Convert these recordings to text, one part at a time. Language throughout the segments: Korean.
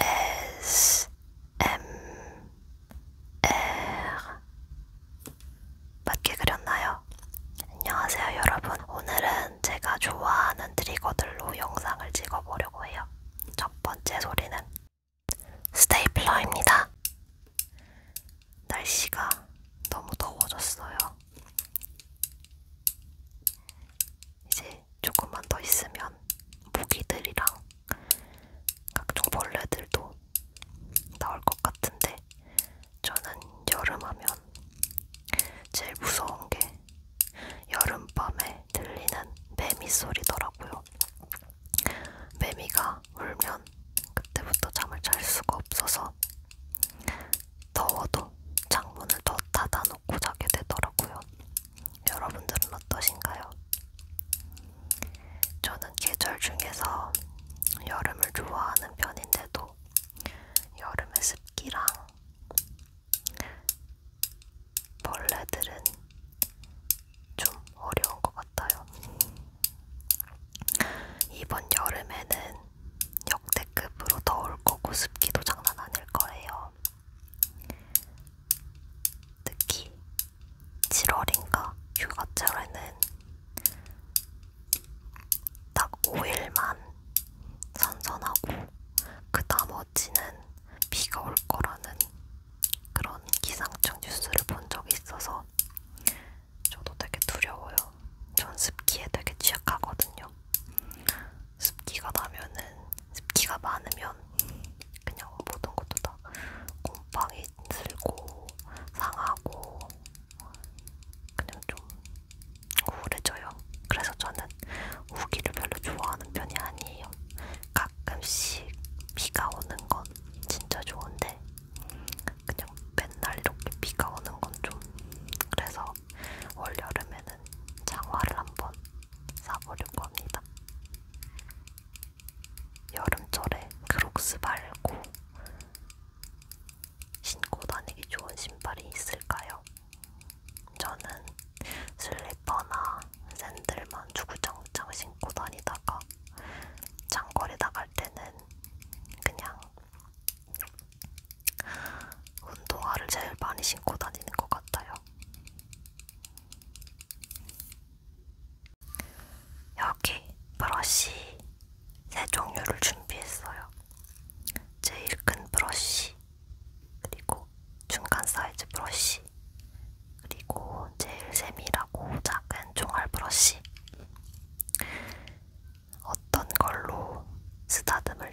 ASMR 맞게 그렸나요? 안녕하세요 여러분 오늘은 제가 좋아하는 트리거들로 영상을 찍어보려고 해요 첫 번째 소리는 스테이플러입니다 날씨가 너무 더워졌어요 이제 조금만 더 있으면 모기들이랑 각종 벌레들도 나올 것 같은데 저는 여름하면 제일 무서운 게 여름밤에 들리는 매미 소리더라고요. 매미가 울면 그때부터 잠을 잘 수가 없어서 더워도 창문을 더 닫아 놓고 자게 되더라고요. 여러분들은 어떠신가요? 저는 계절 중에서 여름을 좋아하는 편인데도 여름의 습기랑 벌레들은 좀 어려운 것 같아요. 이번 여름에는 역대급으로 더울 거고 습기도 장난 아닐 거예요. 특히 7월인가 휴가철에는 딱 5일만 선선하고 그 나머지는 비가 올 거라는 그런 기상청 뉴스를 본 적이 있어서 저도 되게 두려워요. 전 습기에 되게 취약하거든요. 습기가 나면은 습기가 많으면 그냥 모든 것도 다 곰팡이 들고 상하고 그냥 좀 우울해져요. 그래서 저는 우기를 별로 좋아하는 편이 아니에요. 가끔씩 비가 오는 건 진짜 좋은데 그냥 맨날 이렇게 비가 오는 건 좀 그래서 그래서 올 여름에는 장화를 한번 사보려고 합니다. 여름철에 크록스 그 말고 신고 다니기 좋은 신발이 있을까요? 저는 슬리퍼나 샌들만 주구장창 신고 다니다가 장거리 나갈 때는 그냥 운동화를 제일 많이 신고 다니는 것 같아요. 여기 브러쉬 세 종류를 준비했어요. 제일 큰 브러쉬, 그리고 중간 사이즈 브러쉬, 그리고 제일 세밀하고 작은 종알 브러쉬. 어떤 걸로 쓰다듬을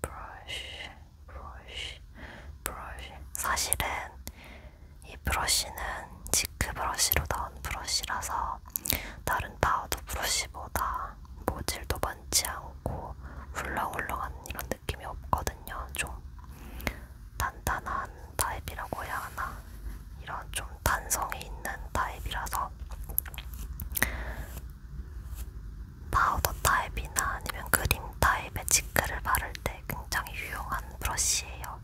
브러쉬, 브러쉬, 브러쉬. 사실은 이 브러쉬는 지크 브러쉬로 나온 브러쉬라서 다른 파우더 브러쉬보다 모질도 많지 않고 훌렁훌렁한 이런 느낌이 없거든요. 좀 단단한 타입이라고 해야 하나? 이런 좀 단성이 있는 타입이라서 파우더 타입이나 아니면 크림 타입의 치크를 바를 때 굉장히 유용한 브러쉬예요.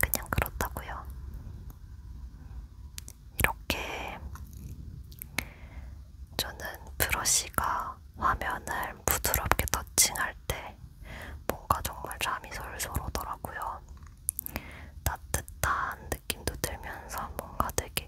그냥 그렇다고요. 이렇게 저는 브러쉬가 화면을 부드럽게 터칭할 때 뭔가 정말 잠이 솔솔 오더라고요. 따뜻한 느낌도 들면서 뭔가 되게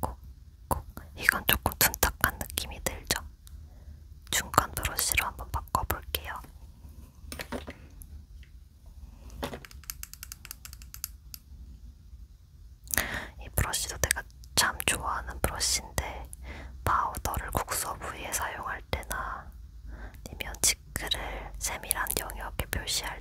콕콕 이건 조금 둔탁한 느낌이 들죠? 중간 브러쉬로 한번 바꿔볼게요. 이 브러쉬도 내가 참 좋아하는 브러쉬인데 파우더를 국소 부위에 사용할 때나 아니면 지크를 세밀한 영역에 표시할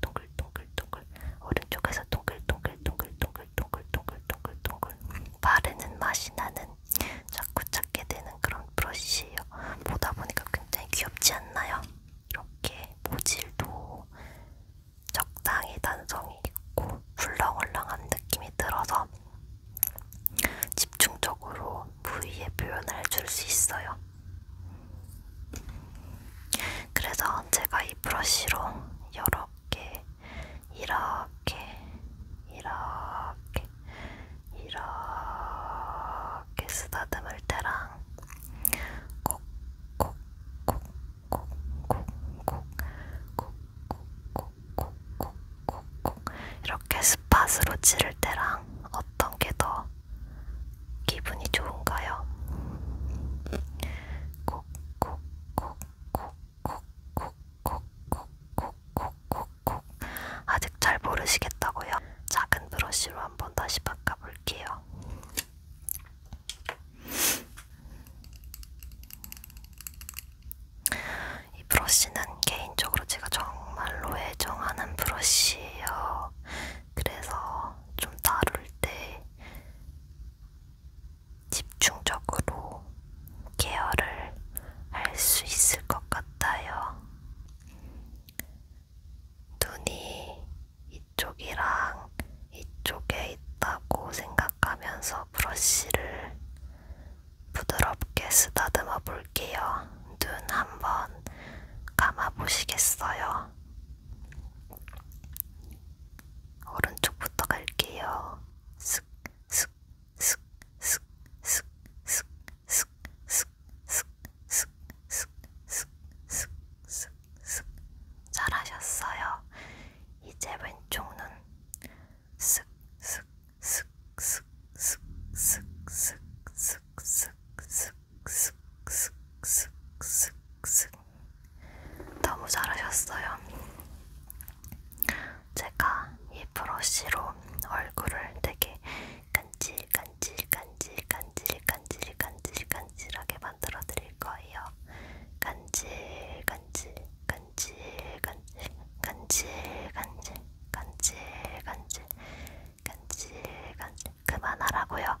동글동글동글동글동글 오른쪽에서 동글동글동글동글동글동글동글동글 바르는 맛이 나는 자꾸 찾게 되는 그런 브러쉬예요. 보다 보니까 굉장히 귀엽지 않나요? 이렇게 모질도 적당히 단성이 있고 훌렁훌렁한 느낌이 들어서 집중적으로 부위에 표현을 해줄 수 있어요. 그래서 제가 이 브러쉬로 여러 개 이렇게 이렇게 이렇게 쓰다듬을 때랑 콕 콕 콕 콕 콕 콕 콕 콕 콕콕콕콕콕콕 이렇게 스팟으로 찌를 때랑 어떤 게더 기분이 좋은가요? 콕콕콕콕콕콕콕 콕 콕 콕 콕 콕 콕 아직 잘 모르시겠다고요? 작은 브러쉬로 한번 다시 바꿔볼게요. 이 브러쉬는 개인적으로 제가 정말로 애정하는 브러쉬예요. 그래서 좀 다룰 때 집중적으로 케어를 할 수 있을 것 같아요. 눈이 이쪽이랑 이쪽에 있다고 생각하면서 브러쉬를 부드럽게 쓰다듬어 볼게요. 눈 한번 감아 보시겠어요? 오른쪽부터 갈게요. 슥, 슥, 슥, 슥, 슥, 슥, 슥, 슥, 슥, 슥, 슥, 슥, 슥, 슥, 슥. 잘하셨어요. 이제 왼쪽 눈. 슥, 슥, 슥, 슥, 슥, 슥, 슥, 슥, 슥, 슥, 슥슥슥슥슥 너무 잘하셨어요. 제가 이 브러쉬로 얼굴을 되게 간질간질간질간질간질간질간질하게 만들어 드릴 거예요. 간질간질간질간질간질간질간질간질간질간질 그만하라고요.